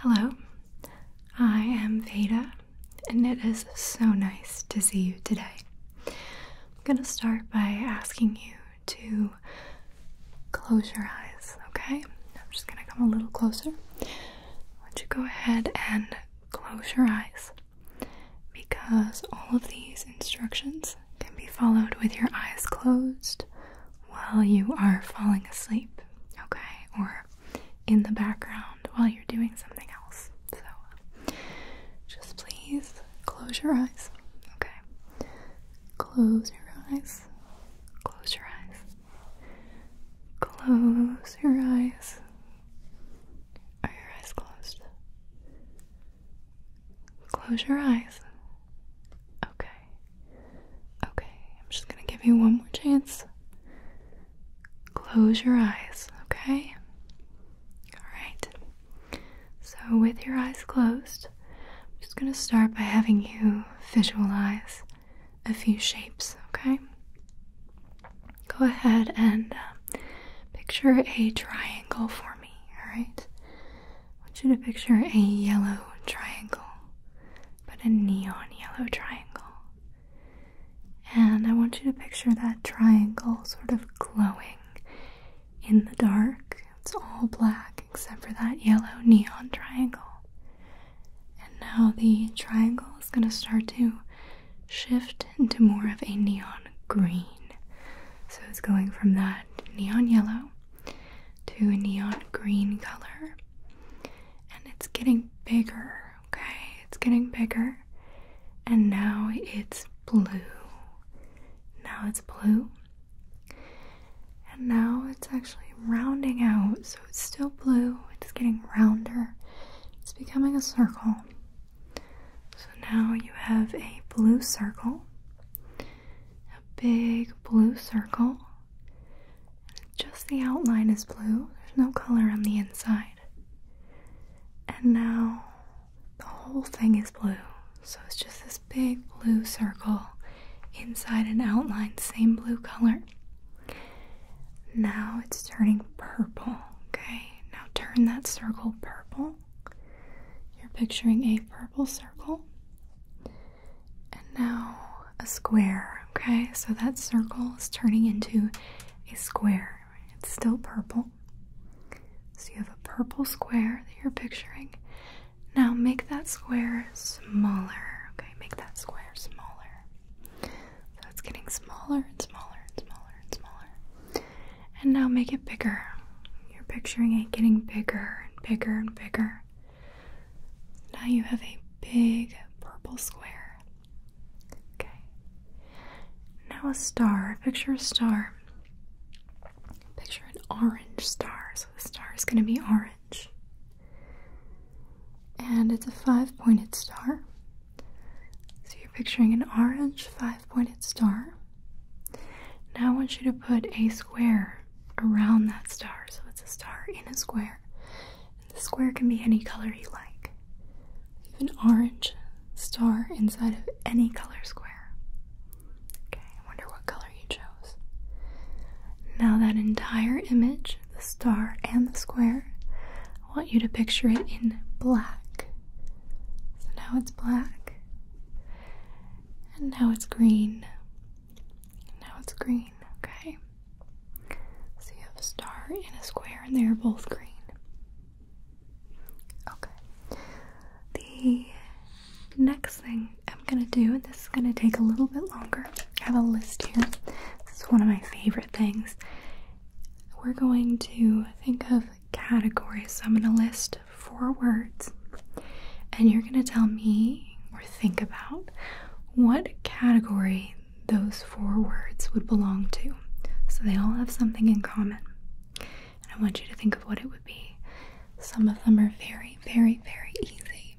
Hello, I am Veda, and it is so nice to see you today. I'm going to start by asking you to close your eyes, okay? I'm just going to come a little closer. I you go ahead and close your eyes because all of these instructions can be followed with your eyes closed while you are falling asleep, okay? Or in the background while you're doing something else. So just please close your eyes, okay? Close your eyes. Close your eyes. Close your eyes. Are your eyes closed? Close your eyes. Okay. Okay, I'm just gonna give you one more chance. Close your eyes, okay? Alright. So, with your eyes closed, I'm just gonna start by having you visualize a few shapes, okay? Go ahead and uh, picture a triangle for me, alright? I want you to picture a yellow triangle but a neon yellow triangle. And I want you to picture that triangle sort of glowing in the dark. It's all black except for that yellow neon triangle. And now the triangle is going to start to shift into more of a neon green. So it's going from that neon yellow to a neon green color. And it's getting bigger, okay? It's getting bigger. And now it's blue. Now it's blue. And now it's actually rounding out. So it's still blue. It's getting rounder. It's becoming a circle. So now you have a blue circle, a big blue circle, just the outline is blue, there's no color on the inside. And now the whole thing is blue, so it's just this big blue circle inside an outline, same blue color. Now it's turning purple, okay? Now turn that circle purple. You're picturing a purple circle. And now a square, okay? So that circle is turning into a square. It's still purple. So you have a purple square that you're picturing. Now make that square smaller, okay? Make that square smaller. So it's getting smaller and smaller and smaller and smaller. And now make it bigger. You're picturing it getting bigger and bigger and bigger. Now you have a big purple square. Okay. Now a star. Picture a star. Picture an orange star. So the star is going to be orange. And it's a five pointed star. So you're picturing an orange five pointed star. Now I want you to put a square around that star. So it's a star in a square. And the square can be any color you like. You have an orange star inside of any color square. Okay, I wonder what color you chose. Now, that entire image, the star and the square, I want you to picture it in black. So now it's black, and now it's green now it's green, okay? So you have a star and a square, and they are both green. Okay. The next thing I'm gonna do, and this is gonna take a little bit longer, I have a list here. This is one of my favorite things. We're going to think of categories. So I'm gonna list four words, and you're gonna tell me or think about what category those four words would belong to. So they all have something in common. And I want you to think of what it would be. Some of them are very, very, very easy,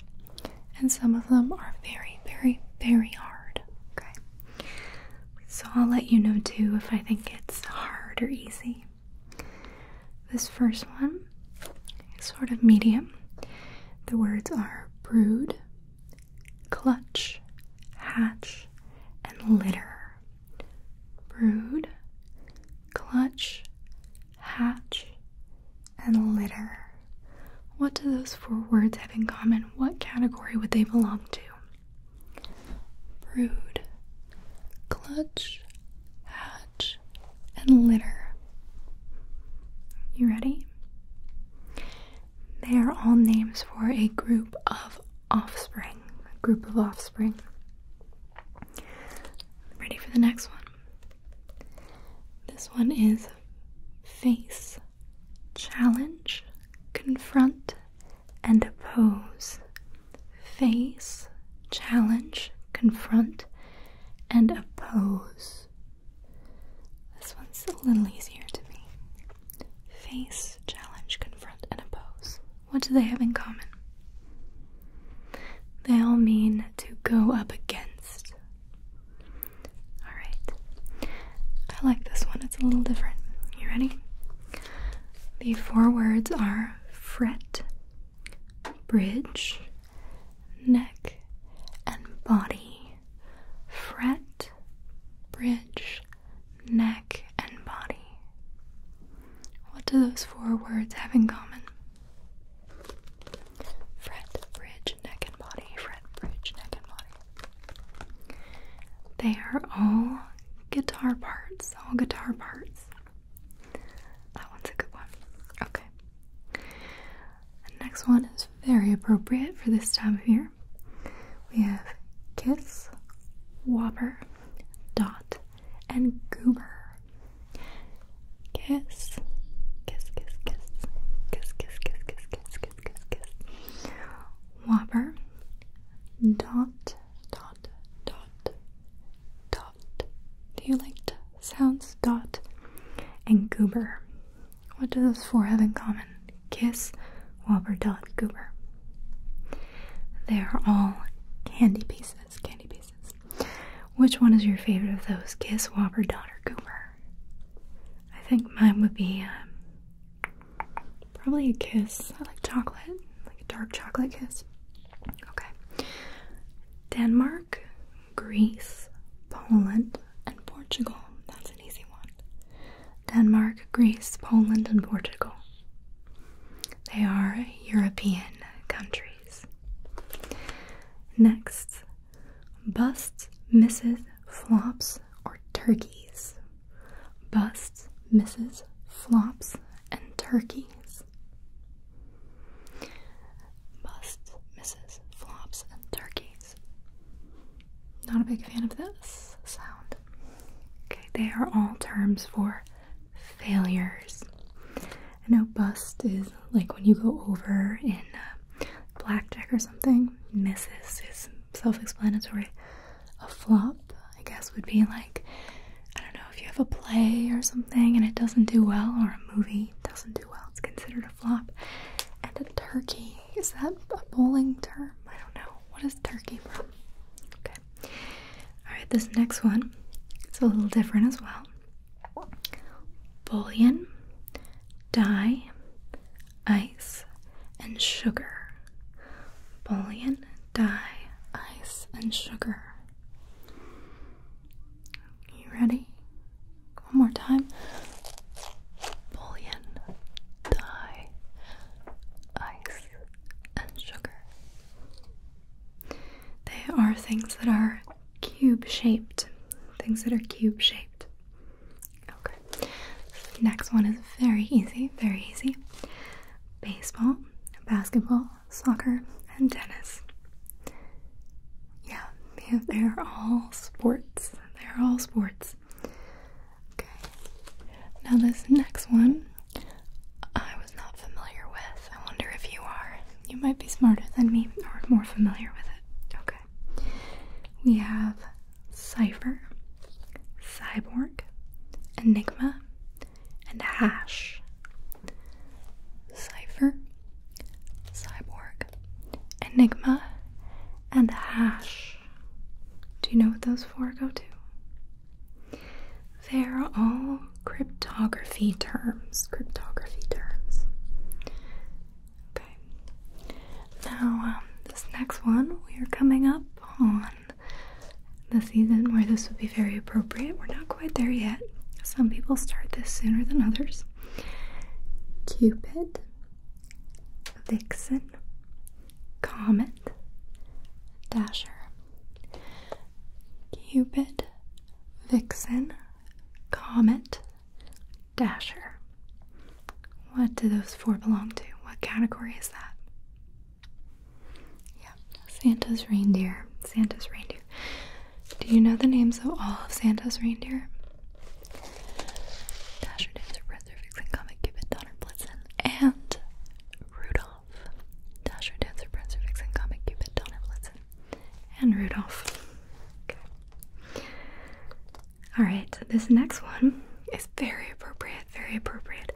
and some of them are very, very, very hard. Okay? So I'll let you know too if I think it's hard or easy. This first one sort of medium. The words are brood, clutch, hatch, and litter. Brood, clutch, hatch, and litter. What do those four words have in common? What category would they belong to? Brood, clutch, hatch and litter. You ready? They are all names for a group of offspring. A group of offspring. Ready for the next one? This one is face, challenge, confront, and oppose. Face, challenge, confront, and oppose. This one's a little easier to me. Face, challenge, confront, and oppose. What do they have in common? They all mean to go up against. Alright. I like this one, it's a little different. You ready? The four words are fret, bridge, neck, and body. Fret, bridge, neck, and body. What do those four words have in common? Fret, bridge, neck, and body. Fret, bridge, neck, and body. They are all guitar parts, all guitar parts. That one's a good one. Okay. The next one is very appropriate for this time of year. We have Kiss, Whopper, Dot, and Goober. Kiss, kiss, kiss, kiss, kiss, kiss, kiss, kiss, kiss, kiss, kiss, kiss. Whopper, Dot, Dot, Dot, dot. Do you like sounds? Dot and goober. What do those four have in common? Kiss, wobber, dot, goober. They are all candy pieces. Candy pieces. Which one is your favorite of those? Kiss, wobber, dot, or goober? I think mine would be um, probably a kiss. I like chocolate, like a dark chocolate kiss. Okay. Denmark. Denmark, Greece, Poland, and Portugal. That's an easy one. Denmark, Greece, Poland, and Portugal. They are European countries. Next, busts, misses, flops, or turkeys. Busts, misses, flops, and turkeys. Busts, misses, flops, and turkeys. Not a big fan of this sound. Okay, they are all terms for failures. I know bust is like when you go over in uh, blackjack or something. Misses is self explanatory. A flop, I guess, would be like I don't know if you have a play or something and it doesn't do well, or a movie doesn't do well, it's considered a flop. And a turkey is that a bowling term? I don't know. What is turkey from? Okay. All right. This next one, it's a little different as well. Bullion, die, ice, and sugar. Bullion, die, ice, and sugar. You ready? One more time. Bullion, dye, ice, and sugar. They are things that are cube shaped. Things that are cube shaped. Okay. Next one is very easy, very easy. Baseball, basketball, soccer, and tennis. Yeah, they're all sports. They're all sports. Okay. Now, this next one I was not familiar with. I wonder if you are. You might be smarter than me or more familiar with it. Okay. We have Cypher, Cyborg, Enigma, and Hash. Cypher, Cyborg, Enigma, and Hash. Do you know what those four go to? They're all cryptography terms. Cryptography terms. Okay. Now, um, this next one, we are coming up on the season where this would be very appropriate. We're not quite there yet. Some people start this sooner than others. Cupid, Vixen, Comet, Dasher. Cupid, Vixen, Comet, Dasher. What do those four belong to? What category is that? Santa's reindeer. Santa's reindeer. Do you know the names of all of Santa's reindeer? Dasher, Dancer, Prancer, Vixen, Comet, Cupid, Donner, Blitzen, and Rudolph. Dasher, Dancer, Prancer, Vixen, Comet, Cupid, Donner, Blitzen, and Rudolph. Okay. All right. This next one is very appropriate. Very appropriate.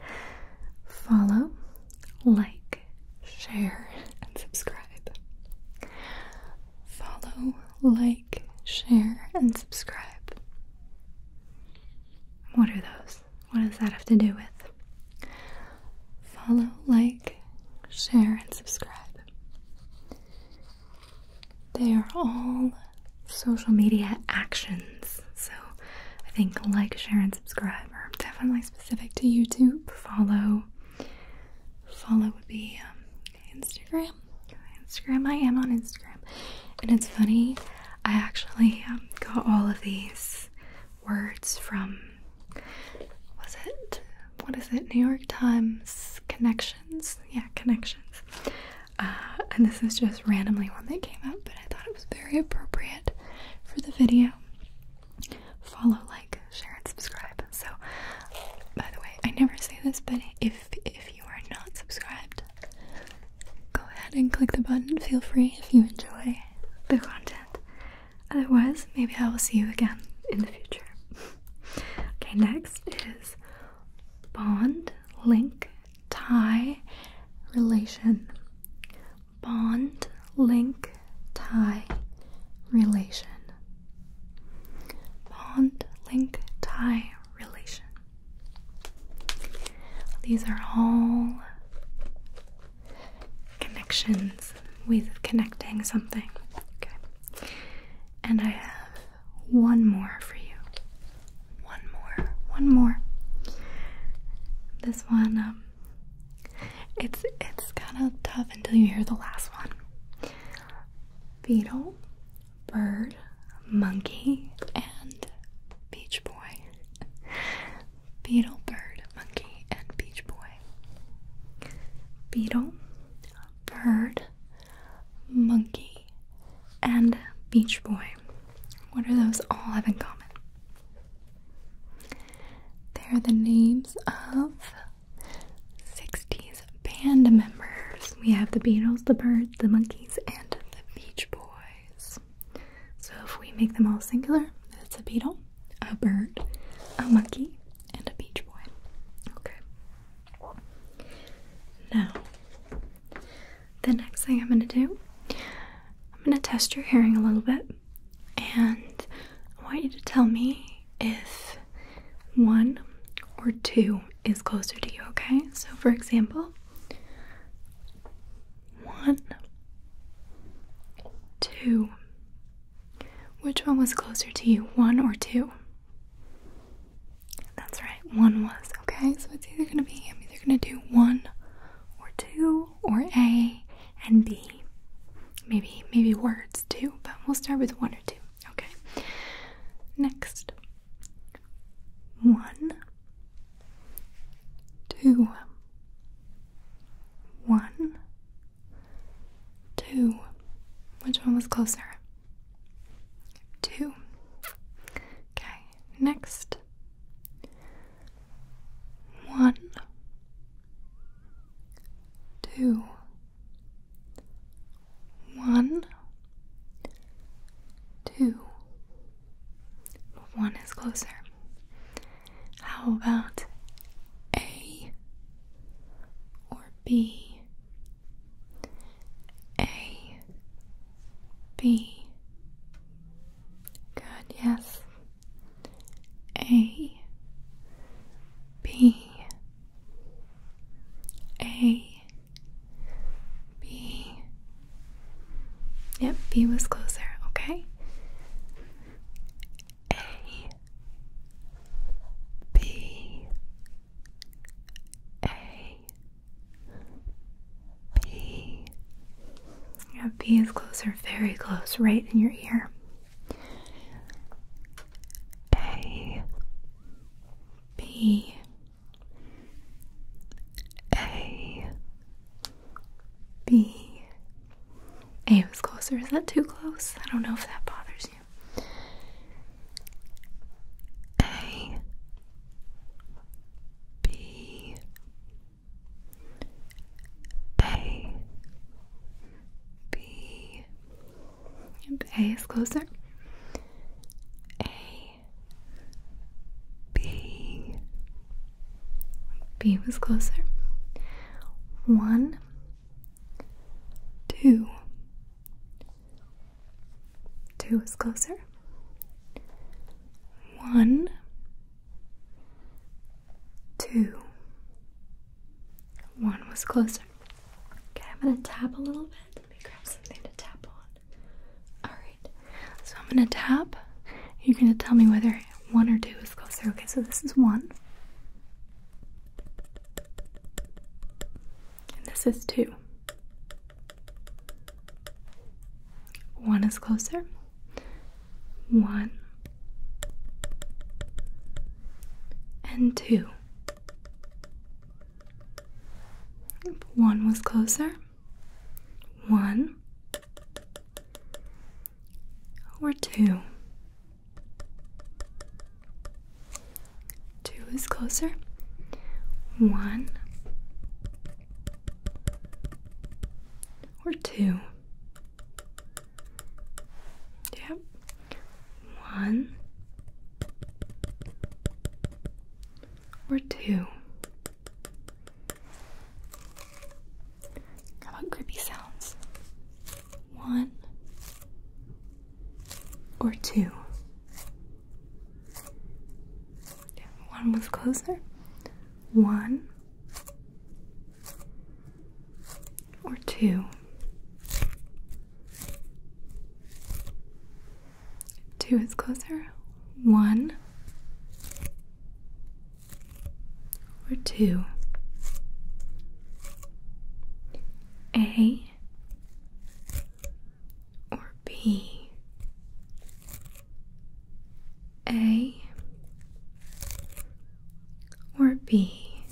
Follow like, share, and subscribe. Follow, like, share, and subscribe. What are those? What does that have to do with? Follow, like, share, and subscribe. They are all social media actions. So I think like, share, and subscribe are definitely specific to YouTube. Follow follow would be um, Instagram. Instagram, I am on Instagram. And it's funny, I actually um, got all of these words from, was it, what is it, New York Times Connections? Yeah, Connections. Uh, and this is just randomly one that came up, but I thought it was very appropriate for the video follow, like, share, and subscribe. So, by the way, I never say this, but if if you are not subscribed, go ahead and click the button. Feel free if you enjoy the content. Otherwise, maybe I will see you again in the future. okay, next is bond, link, tie, relation bond, link, tie, relation. Bond, link, tie, relation. These are all connections with connecting something. Okay. And I have one more for you. One more. One more. This one, um, it's it's kind of tough until you hear the last one. Beetle, bird, monkey, and beach boy. Beetle, bird, monkey, and beach boy. Beetle, bird, monkey, and beach boy. What do those all have in common? They are the names of 60s band members. We have the Beatles, the Birds, the Monkeys, and the Beach Boys. So if we make them all singular, it's a beetle, a bird, a monkey, and a beach boy. Okay. Now, the next thing I'm going to do, I'm going to test your hearing a little bit. And I want you to tell me if one or two is closer to you, okay? So, for example, one, two. Which one was closer to you, one or two? That's right, one was, okay? So it's either gonna be, I'm either gonna do one or two or A and B. Maybe maybe words too, but we'll start with one or two. Okay. Next. One. Two. One. Two. Which one was closer? Two. Okay. Next. One, two, one, two. One is closer. How about A or B? A, B. Good, yes. A B A B Yep, B was closer, okay? A B A B Yeah, B is closer, very close, right in your ear. A B A B A was closer. Is that too close? I don't know if that bothers you. A B a B and A is closer. A B B was closer. One two two is closer. One two, one was closer. Okay, I'm gonna tap a little bit. Let me grab something to tap on. Alright, so I'm gonna tap. You're gonna tell me whether one or two is closer. Okay, so this is one. And this is two. One is closer one and two. One was closer. One or two. Two is closer. One or two. Yep. One or two. How about creepy sounds? One or two. Yeah, one was closer. One or two. Two is closer. One or two. A or B. A or B?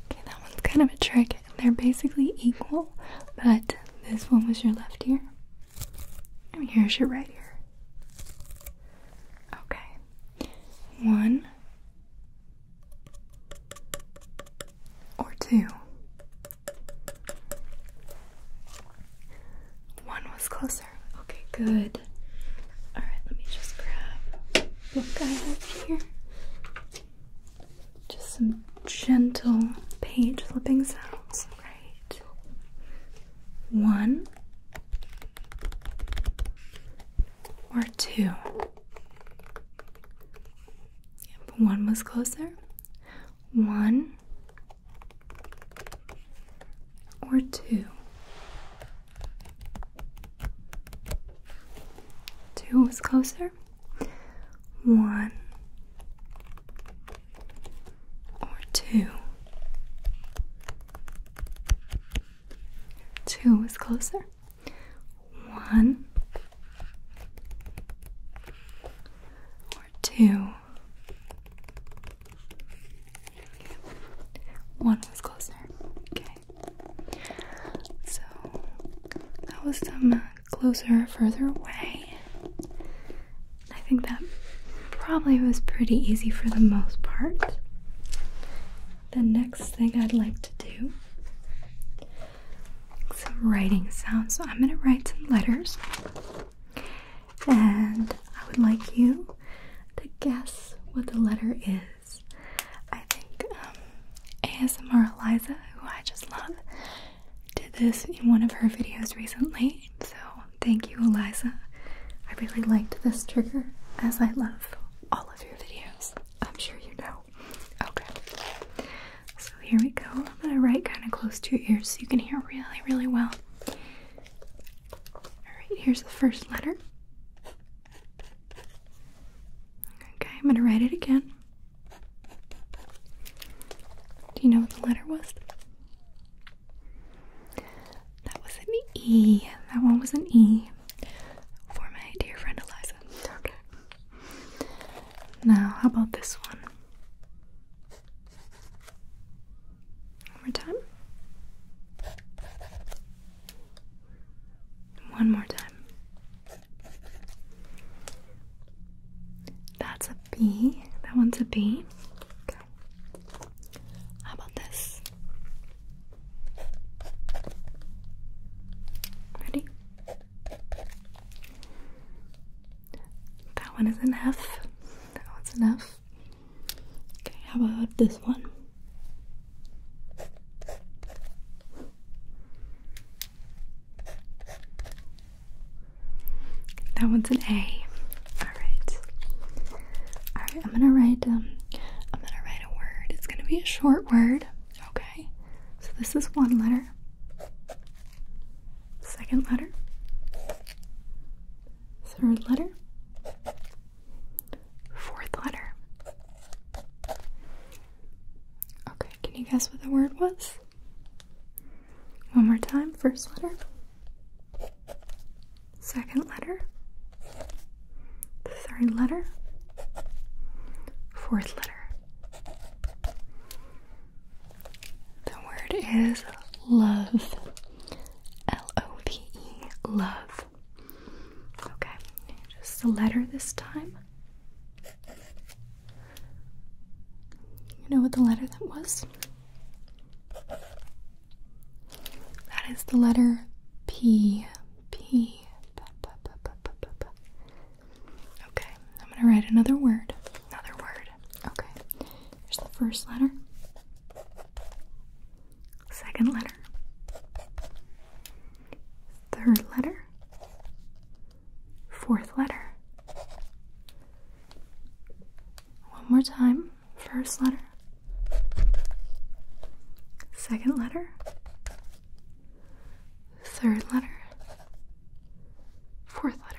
Okay, that one's kind of a trick. They're basically equal, but this one was your left ear, and here's your right ear. Okay, one or two. One was closer. Okay, good. Alright, let me just grab the book I have here. Just some gentle page flipping sounds. Right. One or two. Yep, one was closer. One or two. Two was closer. One or two. Two was closer. One two. Okay. One was closer. Okay. So that was some uh, closer, further away. I think that probably was pretty easy for the most part. The next thing I'd like to do some writing sounds. So I'm going to write some letters and I would like you to guess what the letter is. I think um, ASMR Eliza, who I just love, did this in one of her videos recently. So thank you, Eliza. I really liked this trigger, as I love all of your videos. I'm sure you know. Okay. So here we go. I'm gonna write kind of close to your ears so you can hear really, really well. Alright, here's the first letter. Okay, I'm going to write it again. Do you know what the letter was? That was an E. That one was an E. For my dear friend Eliza. Okay. Now, how about this one? One more time. One more time. That's a B. That one's a B. Okay. How about this? Ready? That one is an F. That one's an F. Okay, how about this one? That one's an A. Alright. Alright, I'm gonna write um, I'm gonna write a word. It's gonna be a short word. Okay. So this is one letter. Second letter. Third letter. Fourth letter. Okay, can you guess what the word was? One more time. First letter. Second letter. Third letter. Fourth letter. The word is love. L O V E, love. Okay, just a letter this time. You know what the letter that was? That is the letter P. P. P, P, P, P, P, P. Okay, I'm gonna write another word. Another word. Okay. Here's the first letter. Second letter. Third letter. Fourth letter. One more time. First letter. Second letter. Third letter. Fourth letter.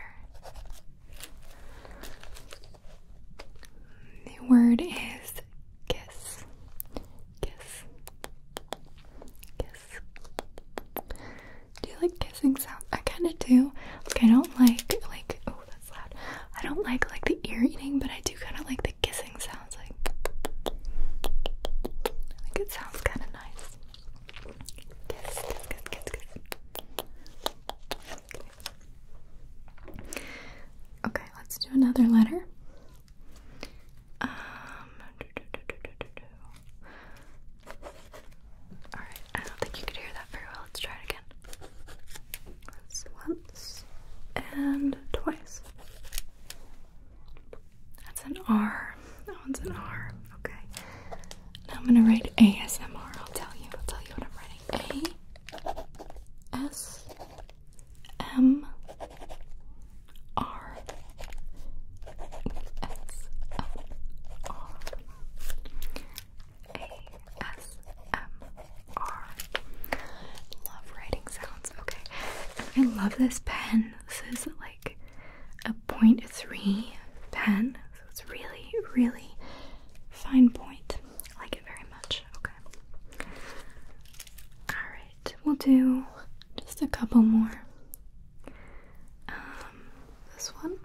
The word is kiss. Kiss. Kiss. Do you like kissing sounds? I kinda do. Like I don't like like oh that's loud. I don't like like the ear eating, but I do kinda like the kissing sounds like I think it sounds kinda nice. Kiss, kiss, kiss, kiss, kiss. Okay, okay let's do another letter. Um, all right, I don't think you could hear that very well. Let's try it again. once and twice. That's an R. That one's an R. Okay. Now I'm gonna write ASMR. I'll tell you. I'll tell you what I'm writing. A S M R S M R A S M R. Love writing sounds. Okay, I love this pen. This is like a 0.3 pen. So it's really, really fine point. I like it very much. Okay. Alright, we'll do just a couple more. Um, this one.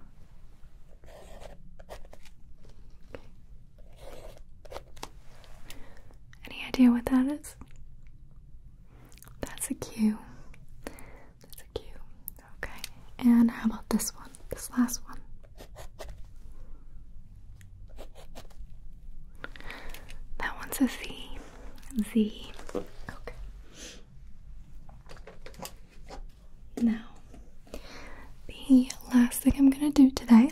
Any idea what that is? That's a Q. That's a Q. Okay. And how about this one? This last one. That one's a Z. Z. Okay. Now, the last thing I'm going to do today,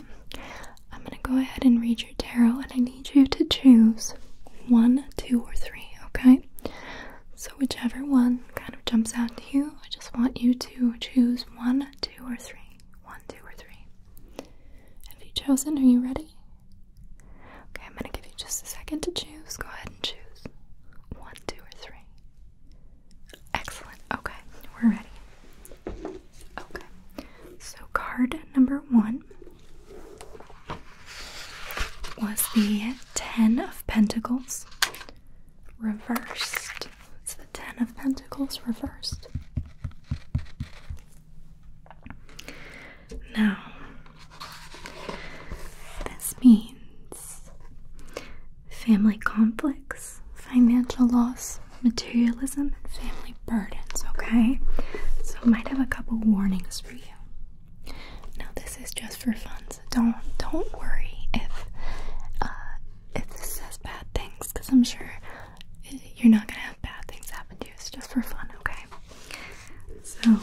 I'm going to go ahead and read your tarot, and I need you to choose one, two, or three, okay? So, whichever one kind of jumps out to you, I just want you to choose one, two, or three. One, two, or three. Have you chosen? Are you ready? Okay, I'm going to give you just a second to choose. Go ahead and choose one, two, or three. Excellent. Okay, we're ready. Okay, so card number one was the Ten of Pentacles reversed. It's the Ten of Pentacles reversed. Now, this means family conflicts, financial loss, materialism, and family burdens, okay? So, might have a couple warnings for you. Now, this this is just for fun, so don't don't worry if uh, if this says bad things, because I'm sure you're not gonna have bad things happen to you. It's just for fun, okay? So,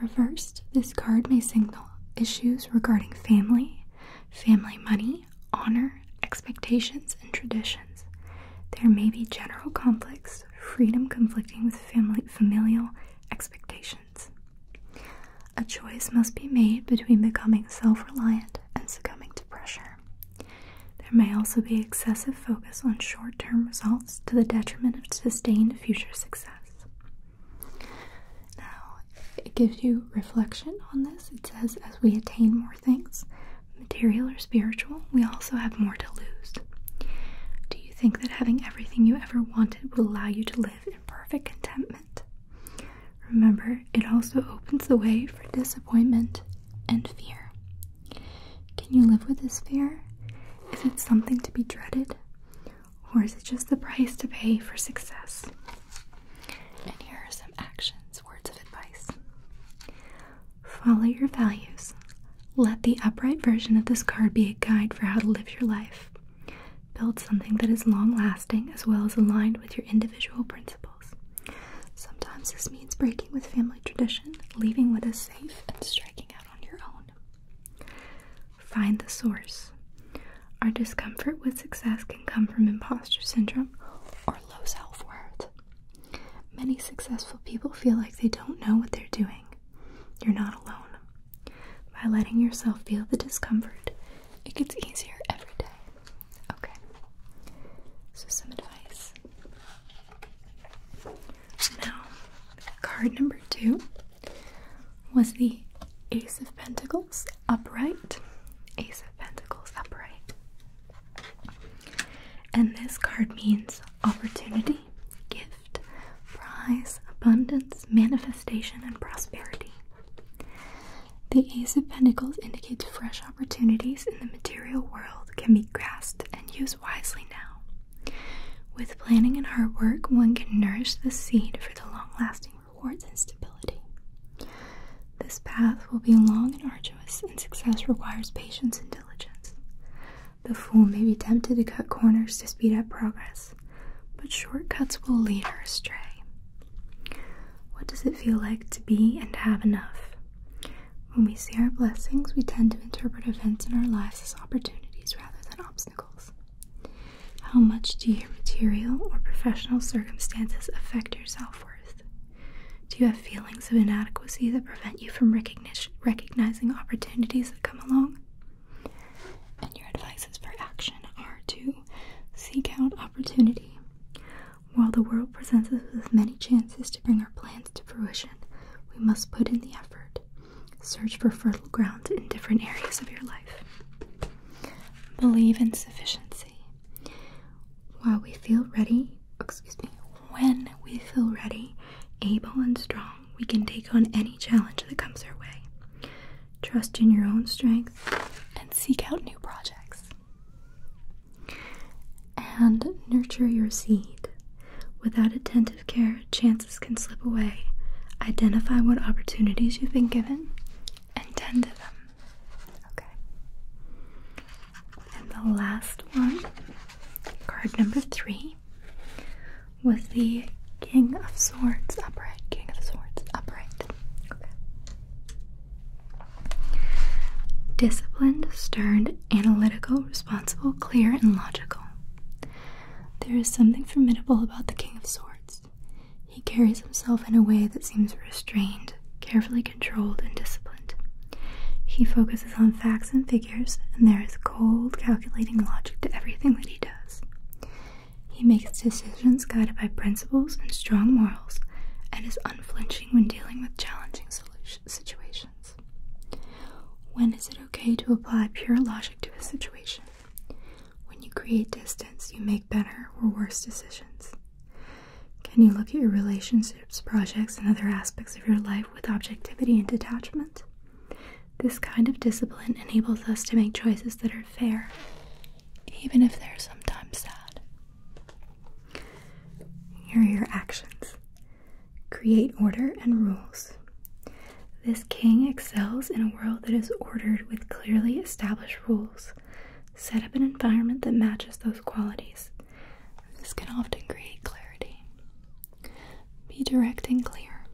reversed, this card may signal issues regarding family, family money, honor, expectations, and traditions. There may be general conflicts, freedom conflicting with family familial expectations. A choice must be made between becoming self reliant and succumbing to pressure. There may also be excessive focus on short term results to the detriment of sustained future success. Now, it gives you reflection on this. It says, as we attain more things, material or spiritual, we also have more to lose. Do you think that having everything you ever wanted will allow you to live perfect contentment. Remember, it also opens the way for disappointment and fear. Can you live with this fear? Is it something to be dreaded? Or is it just the price to pay for success? And here are some actions, words of advice. Follow your values. Let the upright version of this card be a guide for how to live your life. Build something that is long lasting as well as aligned with your individual principles. Sometimes this means breaking with family tradition, leaving what is safe, and striking out on your own. Find the source. Our discomfort with success can come from imposter syndrome or low self worth. Many successful people feel like they don't know what they're doing. You're not alone. By letting yourself feel the discomfort, it gets easier every day. Okay. So, some advice. Now, card number two was the Ace of Pentacles upright. Ace of Pentacles upright. And this card means opportunity, gift, gift, abundance, manifestation, and prosperity. The Ace of Pentacles indicates fresh opportunities in the material world can be grasped and used wisely now. With planning and hard work, one can nourish the seed for the long lasting rewards and stability. This path will be long and arduous, and success requires patience and diligence. The fool may be tempted to cut corners to speed up progress, but shortcuts will lead her astray. What does it feel like to be and have enough? When we see our blessings, we tend to interpret events in our lives as opportunities rather than obstacles. How much do your material or professional circumstances affect your self worth? Do you have feelings of inadequacy that prevent you from recognizing opportunities that come along? And your advices for action are to seek out opportunity. While the world presents us with many chances to bring our plans to fruition, we must put in the effort. Search for fertile ground in different areas of your life. Believe in sufficiency. While we feel ready, excuse me, when we feel ready, able, and strong, we can take on any challenge that comes our way trust in your own strength, and seek out new projects. And nurture your seed. Without attentive care, chances can slip away. Identify what opportunities you've been given and tend to them. Okay. And the last one, card number three, was the King of Swords upright. King of Swords upright. Okay. Disciplined, stern, analytical, responsible, clear, and logical. There is something formidable about the King of Swords. He carries himself in a way that seems restrained, carefully controlled, and disciplined. He focuses on facts and figures, and there is cold, calculating logic to everything that he does. He makes decisions guided by principles and strong morals and is unflinching when dealing with challenging situations. When is it okay to apply pure logic to a situation? When you create distance, you make better or worse decisions. Can you look at your relationships, projects, and other aspects of your life with objectivity and detachment? This kind of discipline enables us to make choices that are fair, even if they're sometimes sad. Here are your actions create order and rules. This king excels in a world that is ordered with clearly established rules. Set up an environment that matches those qualities. This can often create clarity. Be direct and clear.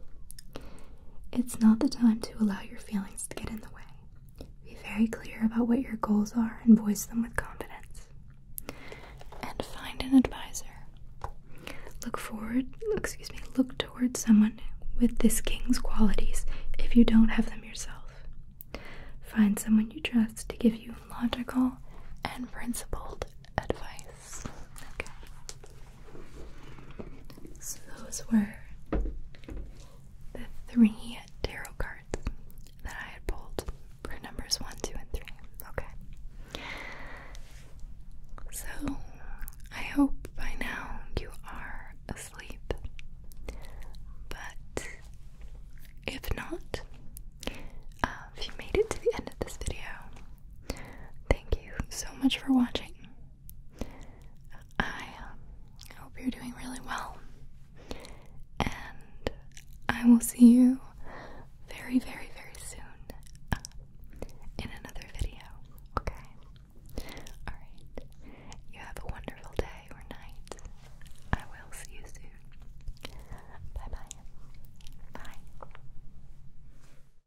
It's not the time to allow your feelings to get in the way. Be very clear about what your goals are and voice them with confidence. And find an advisor. Look forward, excuse me, look towards someone with this king's qualities if you don't have them yourself. Find someone you trust to give you logical and principled advice. Okay. So those were the three tarot cards that I had pulled for numbers one, two, and three. Okay. So I hope by now you are asleep. But if not, uh, if you made it to the end of this video, thank you so much for watching. I um, hope you're doing really well. And I will see you very, very, very soon uh, in another video. Okay? Alright. You have a wonderful day or night. I will see you soon. Bye bye. Bye.